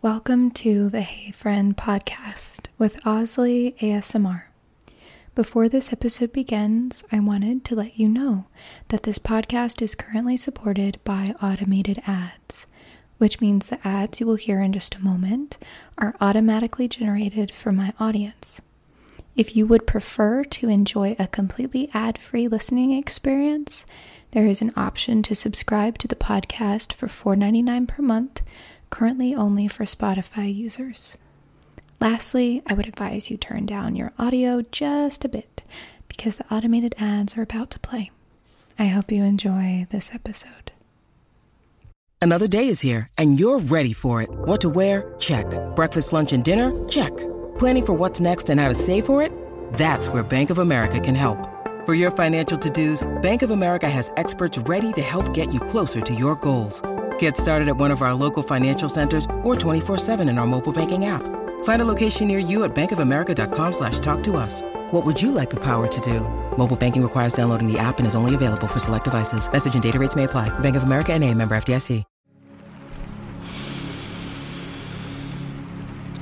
Welcome to the Hey Friend podcast with Osley ASMR. Before this episode begins, I wanted to let you know that this podcast is currently supported by automated ads, which means the ads you will hear in just a moment are automatically generated for my audience. If you would prefer to enjoy a completely ad free listening experience, there is an option to subscribe to the podcast for $4.99 per month, currently only for Spotify users. Lastly, I would advise you turn down your audio just a bit because the automated ads are about to play. I hope you enjoy this episode. Another day is here and you're ready for it. What to wear? Check. Breakfast, lunch, and dinner? Check. Planning for what's next and how to save for it? That's where Bank of America can help. For your financial to-dos, Bank of America has experts ready to help get you closer to your goals. Get started at one of our local financial centers or 24-7 in our mobile banking app. Find a location near you at bankofamerica.com slash talk What would you like the power to do? Mobile banking requires downloading the app and is only available for select devices. Message and data rates may apply. Bank of America and a member FDIC.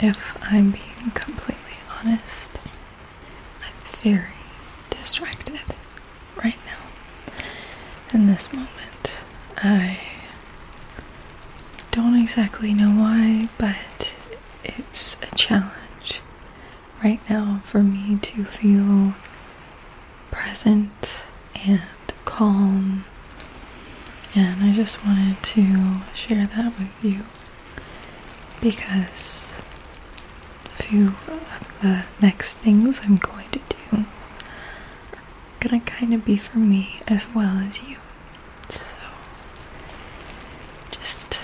If I'm being completely honest, I'm very distracted right now. In this moment, I don't exactly know why, but it's a challenge right now for me to feel present and calm. And I just wanted to share that with you because a few of the next things I'm going to do are gonna kind of be for me as well as you. So just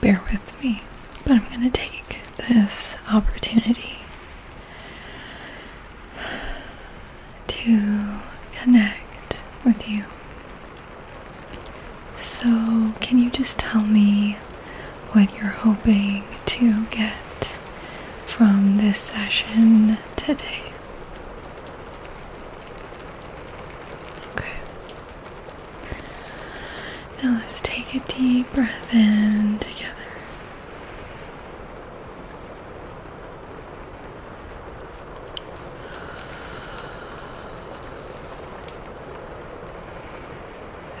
bear with me. But I'm gonna take this opportunity to connect with you. So, can you just tell me what you're hoping to get from this session today? Okay. Now, let's take a deep breath in together.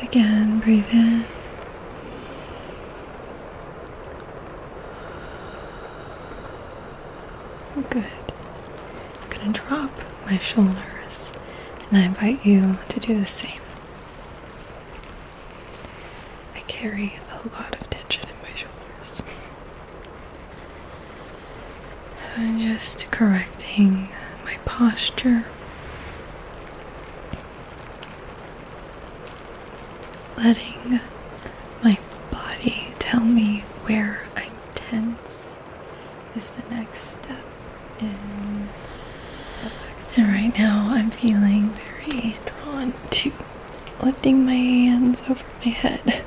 Again, breathe in. Good. I'm going to drop my shoulders, and I invite you to do the same. I carry a lot of tension in my shoulders. So I'm just correcting my posture. Letting my body tell me where I'm tense is the next step in relaxing. And right now I'm feeling very drawn to lifting my hands over my head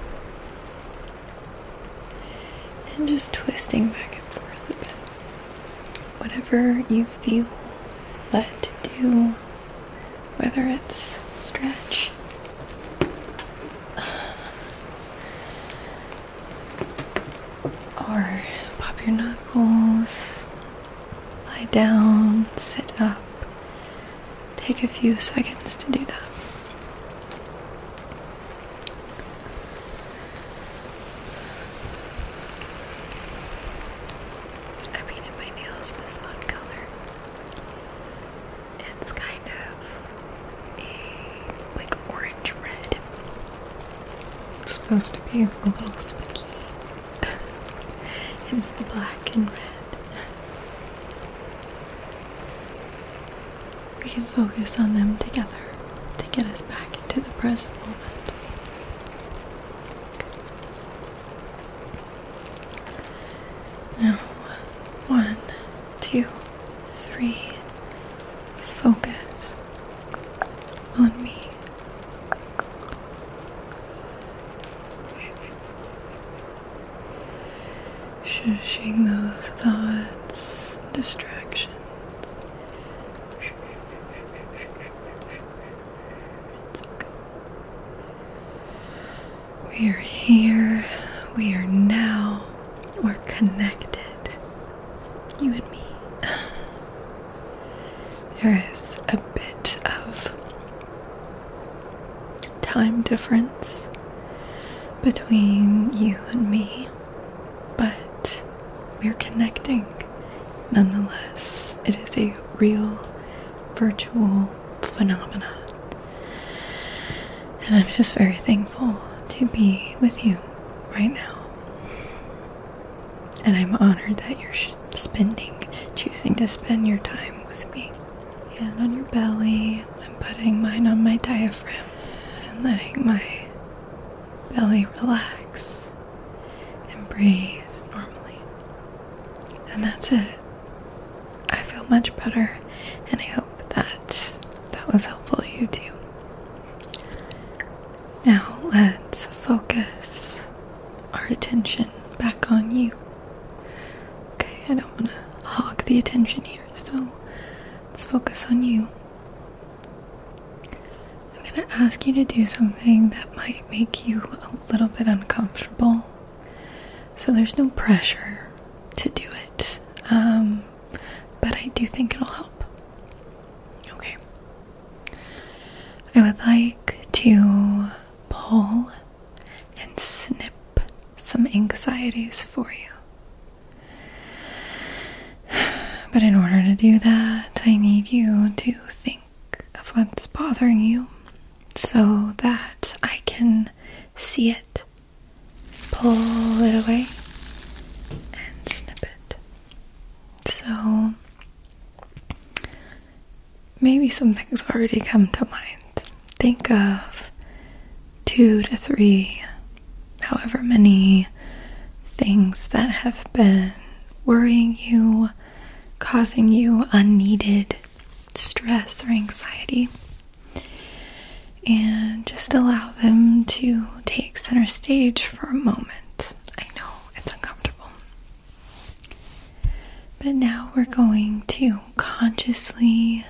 and just twisting back and forth a bit. Whatever you feel led to do, whether it's stretch. Or pop your knuckles, lie down, sit up. Take a few seconds to do that. I painted my nails this one color. It's kind of a like orange red. supposed to be a little spiky. it's the black and red. We can focus on them together to get us back into the present moment. Now, one, two, three, focus on me. Shushing those thoughts, distractions. We are here, we are now, we're connected. You and me there is a bit of time difference between you and me, but we're connecting nonetheless. It is a real virtual phenomenon. And I'm just very thankful to be with you right now. And I'm honored that you're spending, choosing to spend your time with me. Hand on your belly. I'm putting mine on my diaphragm and letting my belly relax and breathe normally. And that's it. I feel much better, and I hope that that was helpful to you too. Now let's focus our attention back on you. Okay, I don't want to hog the attention here, so let's focus on you. I'm going to ask you to do something that might make you a little bit uncomfortable. So there's no pressure to do it, um, but I do think it'll help. Okay, I would like to pull and snip some anxieties for you. But in order to do that, I need you to think of what's bothering you so that I can see it, pull it away, and snip it. So maybe some things already come to mind. Think of two to three, however many things that have been worrying you, causing you unneeded stress or anxiety. And just allow them to take center stage for a moment. I know it's uncomfortable. But now we're going to consciously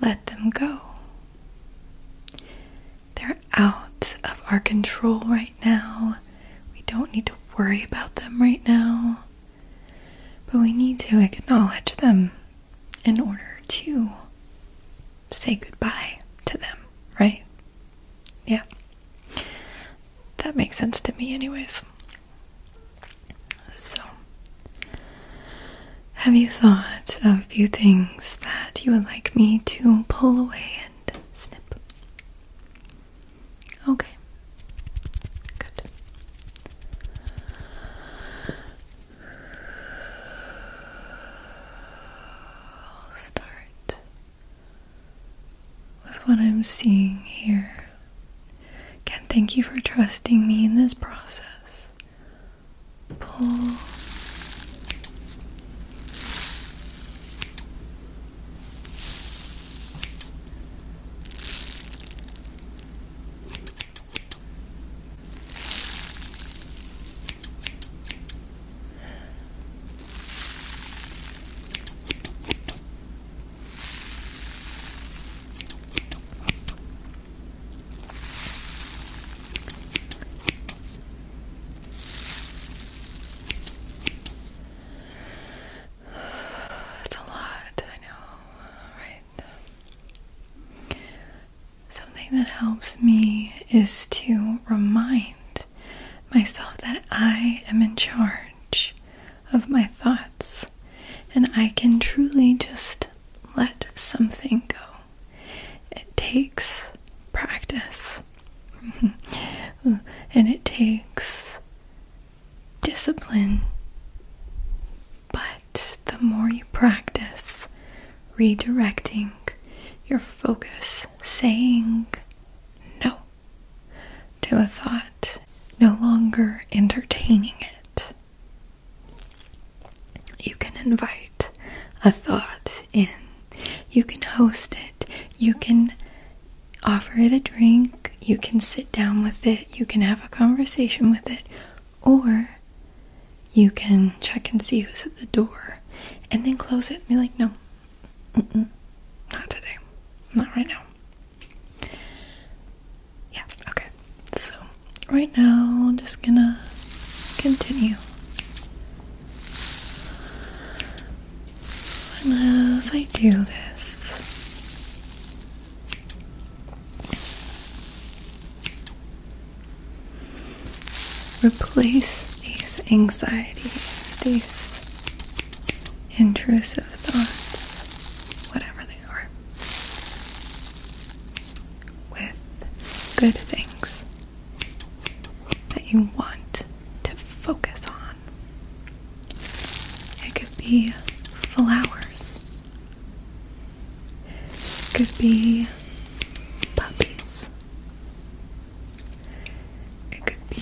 let them go. They're out of our control right now. We don't need to worry about them right now. But we need to acknowledge them in order to say goodbye to them, right? Yeah. That makes sense to me, anyways. So, have you thought of a few things that you would like me to pull away and snip? Okay. Good. I'll start with what I'm seeing here. Again, thank you for trusting me in this process. Pull. It's a lot, I know, right? Something that helps me is to remind myself that I am in charge of my thoughts and I can truly just let something go. It takes practice and it takes discipline. But the more you practice redirecting your focus, saying no to a thought, no longer entertaining it. You can invite a thought in, you can host it, you can offer it a drink, you can sit down with it, you can have a conversation with it, or you can check and see who's at the door and then close it and be like, no, Mm -mm. Not today. Not right now. Yeah, okay. So, right now, I'm just gonna continue. And as I do this, Replace these anxieties, these intrusive thoughts, whatever they are, with good things that you want to focus on. It could be flowers. It could be puppies. It could be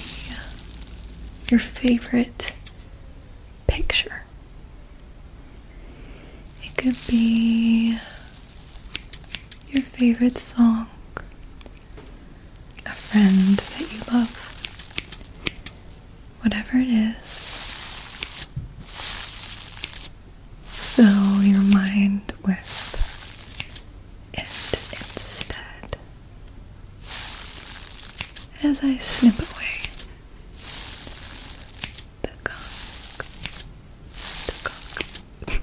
your favorite picture. It could be your favorite song, a friend that you love. Whatever it is, fill your mind with it instead as I snip away the cock, the cock.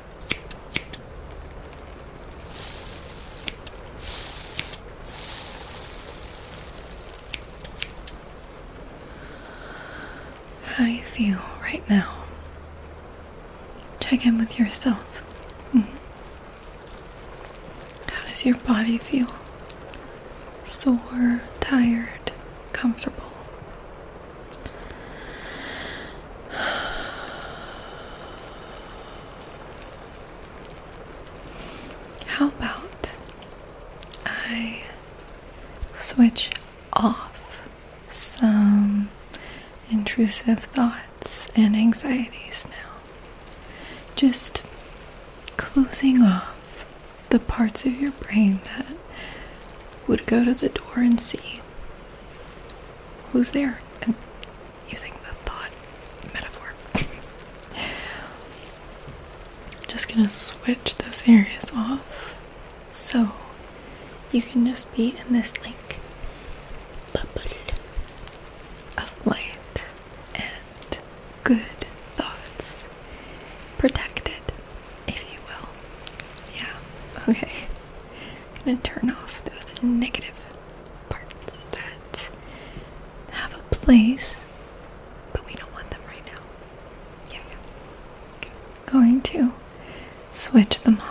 How you feel right now? Check in with yourself. Mm-hmm. How does your body feel? Sore, tired, comfortable? How about I switch off some intrusive thoughts and anxieties now? Just closing off the parts of your brain that would go to the door and see who's there? I'm using the thought metaphor. I'm just gonna switch those areas off so you can just be in this link bubble of light and good thoughts. Protected, if you will. Yeah, okay. I'm gonna turn off those negative parts that have a place, but we don't want them right now. Yeah, Going to switch them off.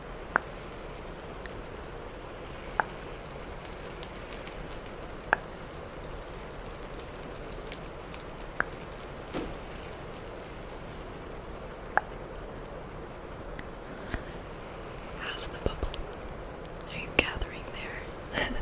How's the bubble? Are you gathering there?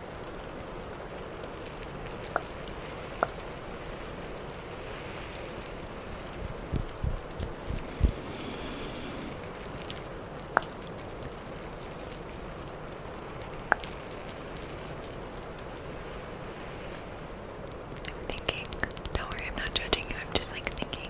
I'm thinking, don't worry, I'm not judging you, I'm just like thinking.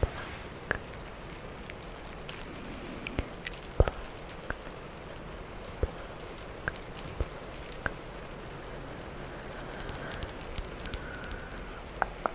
Pluck. Pluck. How do you like the plucking? Pluck. Pluck. Pluck.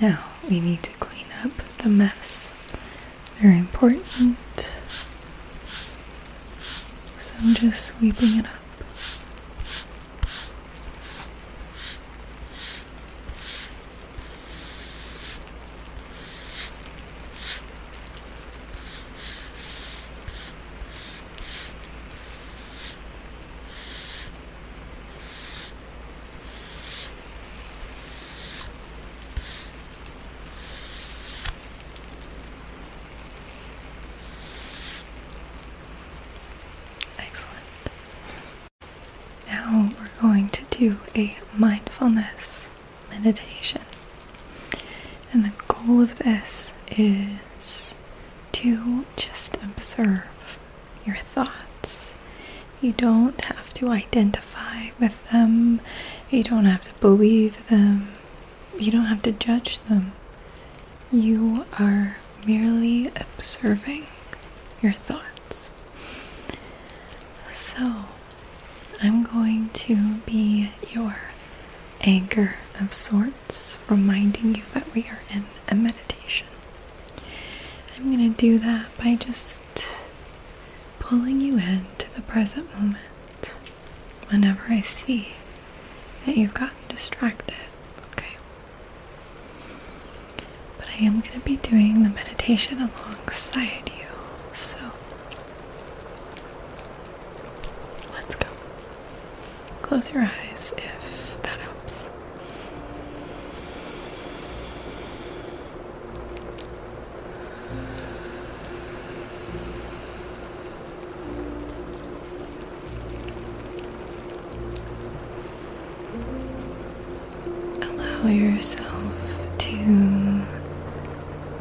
Now we need to clean up the mess. Very important. So I'm just sweeping it up. Excellent. Now we're going to do a mindfulness meditation. And the goal of this is to just observe your thoughts. You don't have to identify with them, you don't have to believe them, you don't have to judge them. You are merely observing your thoughts. So, I'm going to be your anchor of sorts, reminding you that we are in a meditation. I'm going to do that by just pulling you in to the present moment whenever I see that you've gotten distracted, okay? But I am going to be doing the meditation alongside you, so let's go. Close your eyes if that helps. Allow yourself to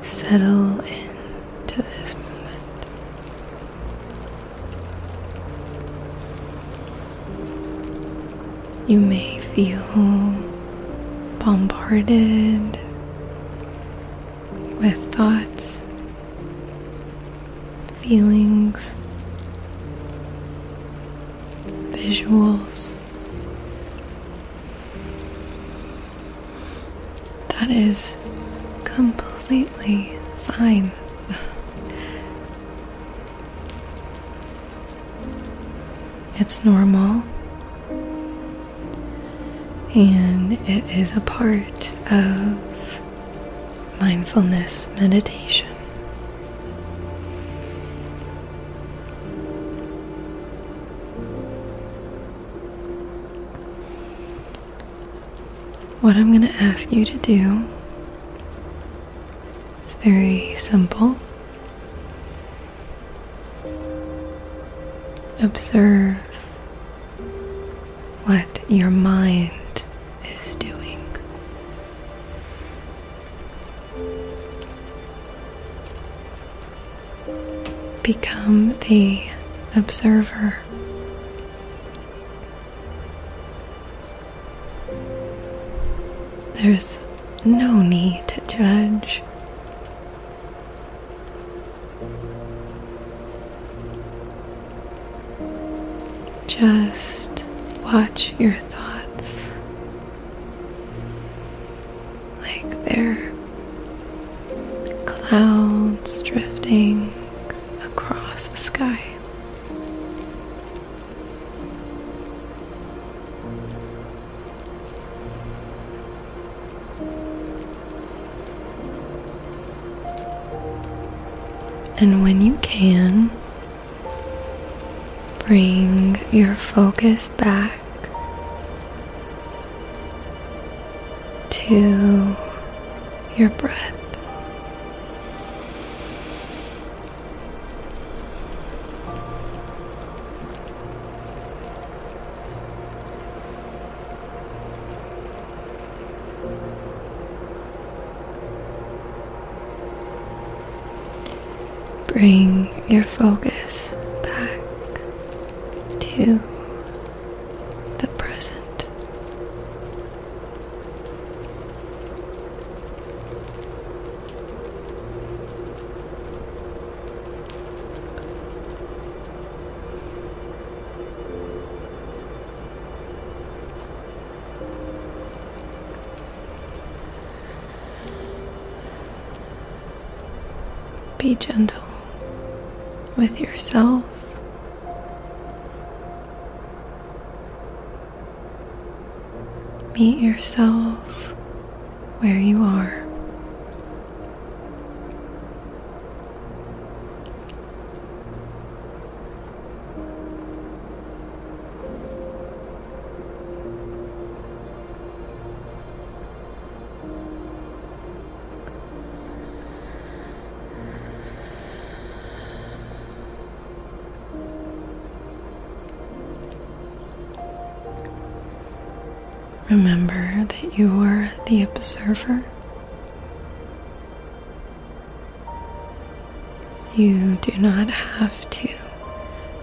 settle into this moment. You may feel bombarded with thoughts, feelings, visuals. That is completely fine. It's normal and it is a part of mindfulness meditation. What I'm going to ask you to do it's very simple. Observe what your mind is doing. Become the observer. There's no need to judge. Just watch your thoughts like they're clouds drifting across the sky. And when you can, bring your focus back to your breath. Bring your focus back to the present. Be gentle with yourself Meet yourself where you are. Remember that you are the observer. You do not have to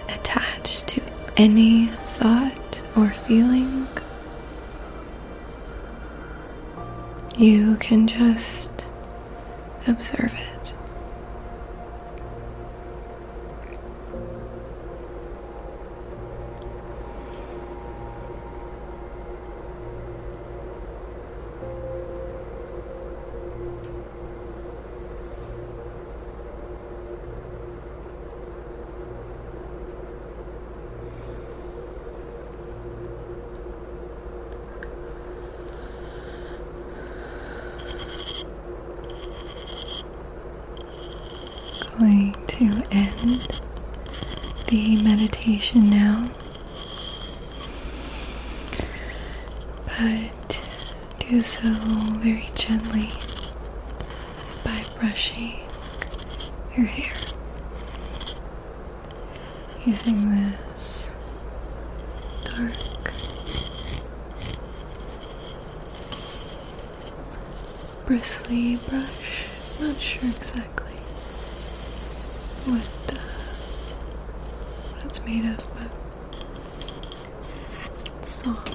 attach to any thought or feeling. You can just Observe it. Going to end the meditation now, but do so very gently by brushing your hair using this dark bristly brush. Not sure exactly what, uh, what it's made of, but it's soft.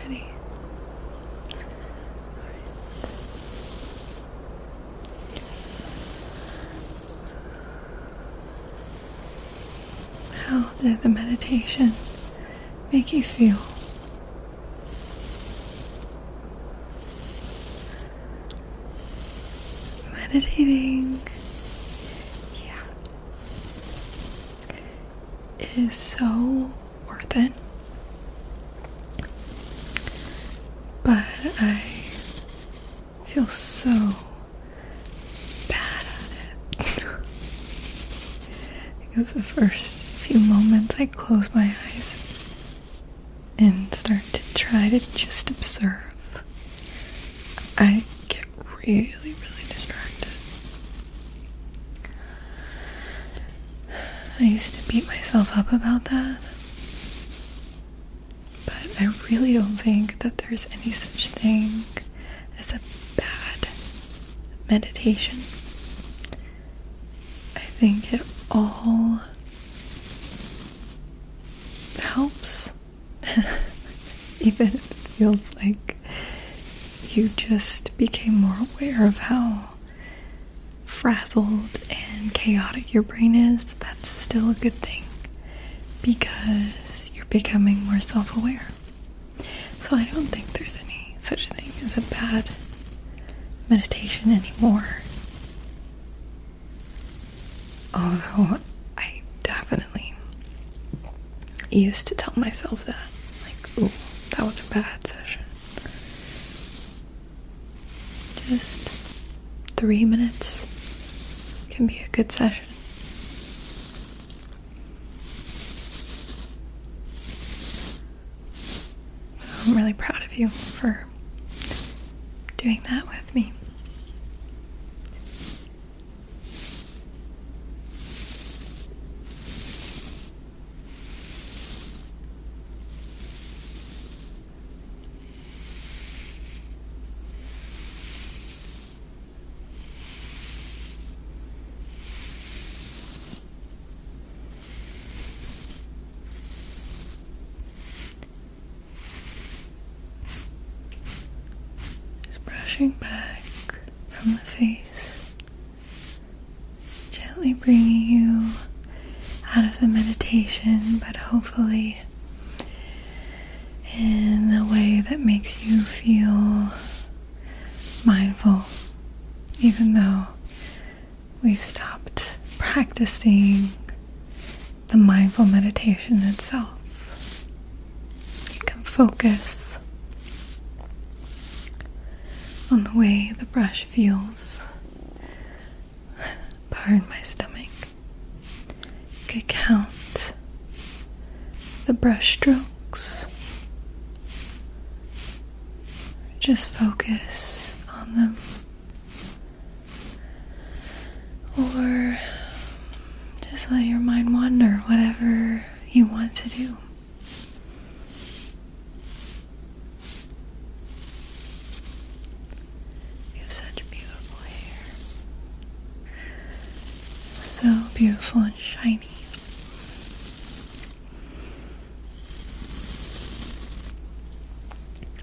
Ready? All right. Wow, the meditation make you feel? Meditating, yeah, it is so worth it. But I feel so bad at it. because the first few moments I close my eyes and start to try to just observe, I get really, really distracted. I used to beat myself up about that, but I really don't think that there's any such thing it's a bad meditation. I think it all helps, even if it feels like you just became more aware of how frazzled and chaotic your brain is. That's still a good thing because you're becoming more self aware. So I don't think there's any such thing as a bad meditation anymore. Although I definitely used to tell myself that, like, ooh, that was a bad session. Just three minutes can be a good session. So I'm really proud of you for doing that with me. Just brushing back from the face, gently bringing you out of the meditation, but hopefully in a way that makes you feel mindful, even though we've stopped practicing the mindful meditation itself. You can focus on the way the brush feels. Pardon my stomach. You could count the brush strokes. Just focus on them. Or just let your mind wander, whatever you want to do. You have such beautiful hair. So beautiful and shiny.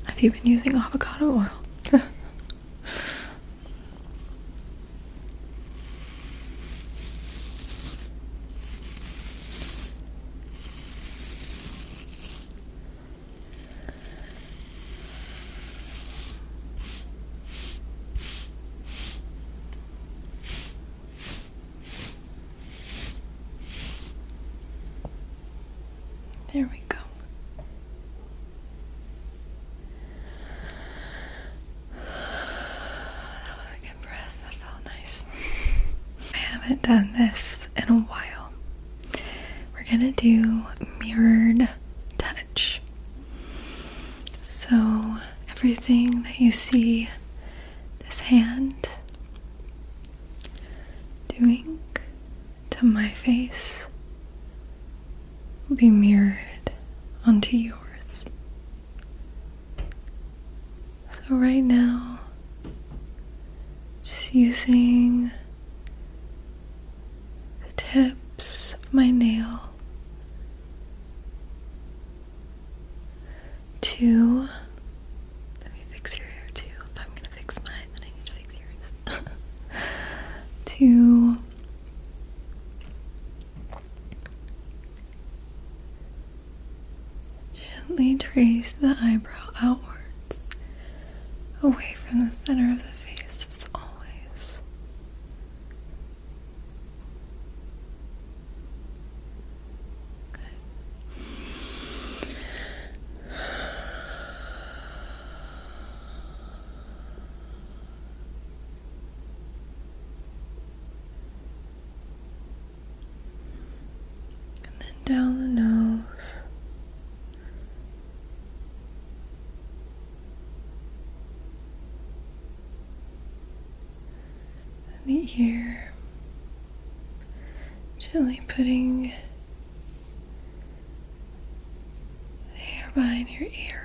Have you been using avocado oil? There we go. That was a good breath. That felt nice. I haven't done this in a while. We're gonna do mirrored so, everything that you see this hand doing to my face will be mirrored onto yours. So, right now, just using the tips of my nail Two. Let me fix your hair too. If I'm gonna fix mine, then I need to fix yours. Two. Gently trace the eyebrow outwards, away from the center of the face as always. And then down the nose the ear, gently putting the hair behind your ear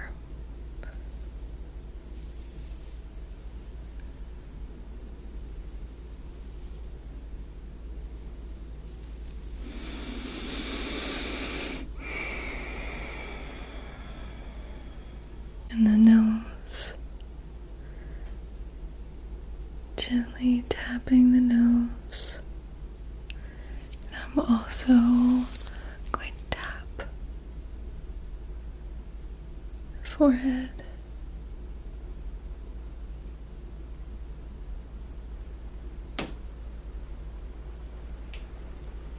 and the nose. Gently tapping the nose. And I'm also going to tap forehead.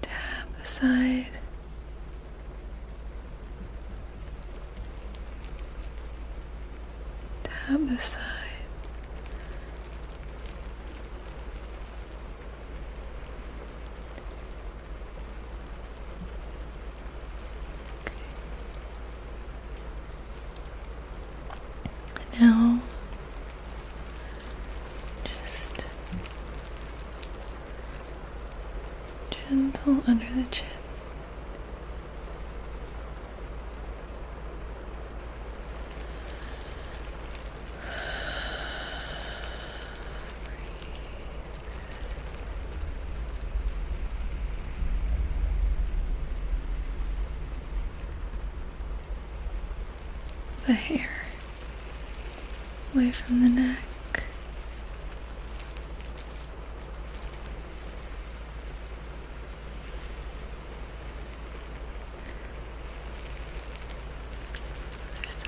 Tap the side. Tap the side. Now just gentle under the chin. The hair away from the neck. Other side.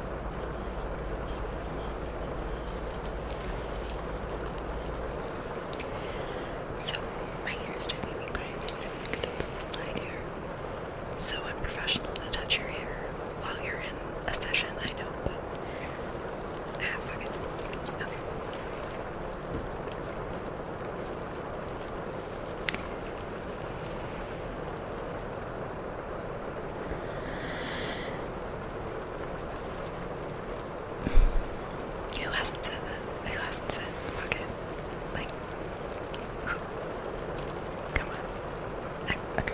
So, my hair is driving me crazy I am up to slide here. So unprofessional to touch your hair while you're in a session, I know, but ah, fuck it. Okay. Who hasn't said that? Who hasn't said fuck it? Like, who? Come on. I, okay.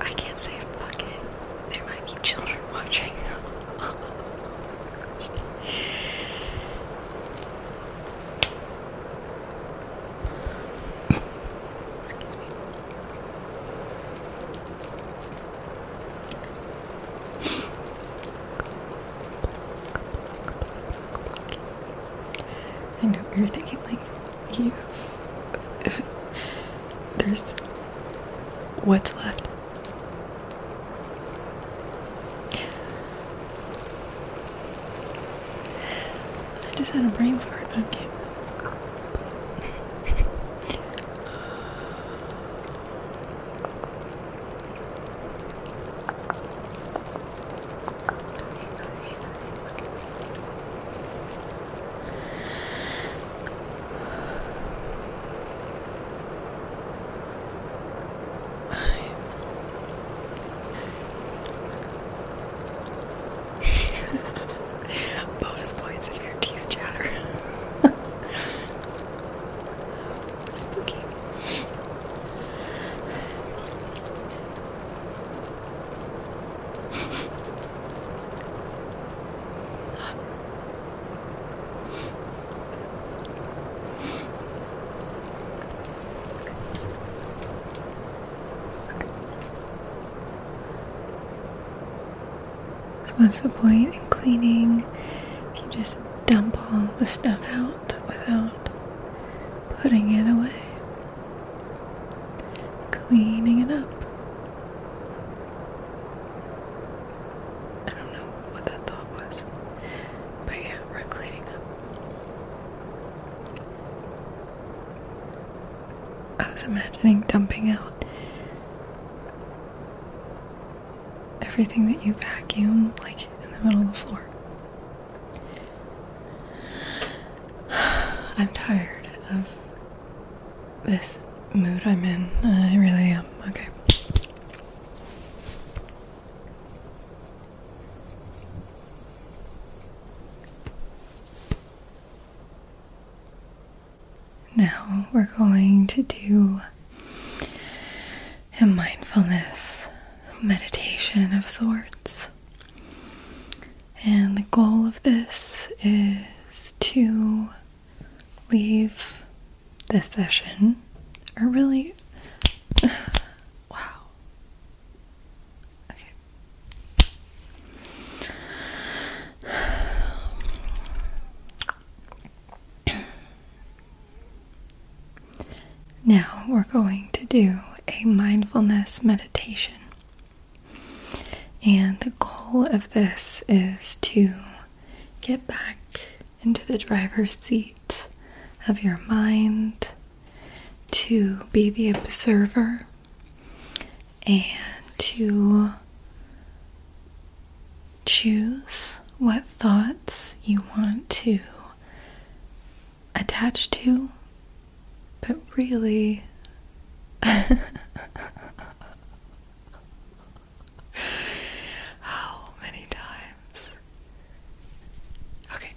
I can't say fuck it. There might be children watching. I know you're thinking like you there's what's left. I just had a brain fart on okay. camera. Bonus points if your teeth chatter. Spooky. So what's the point in cleaning if you just dump all the stuff out without putting it away? Cleaning it up. I don't know what that thought was. But yeah, we're cleaning up. I was imagining dumping out everything that you vacuum, like in the middle of the floor. I'm tired of this mood I'm in. I really am. Okay. Now we're going to do a mindfulness meditation of sorts. And the goal of this is to leave this session, or really, wow. Now we're going to do a mindfulness meditation. And the goal of this is to get back into the driver's seat of your mind, to be the observer, and to choose what thoughts you want to attach to but really, how many times? Okay.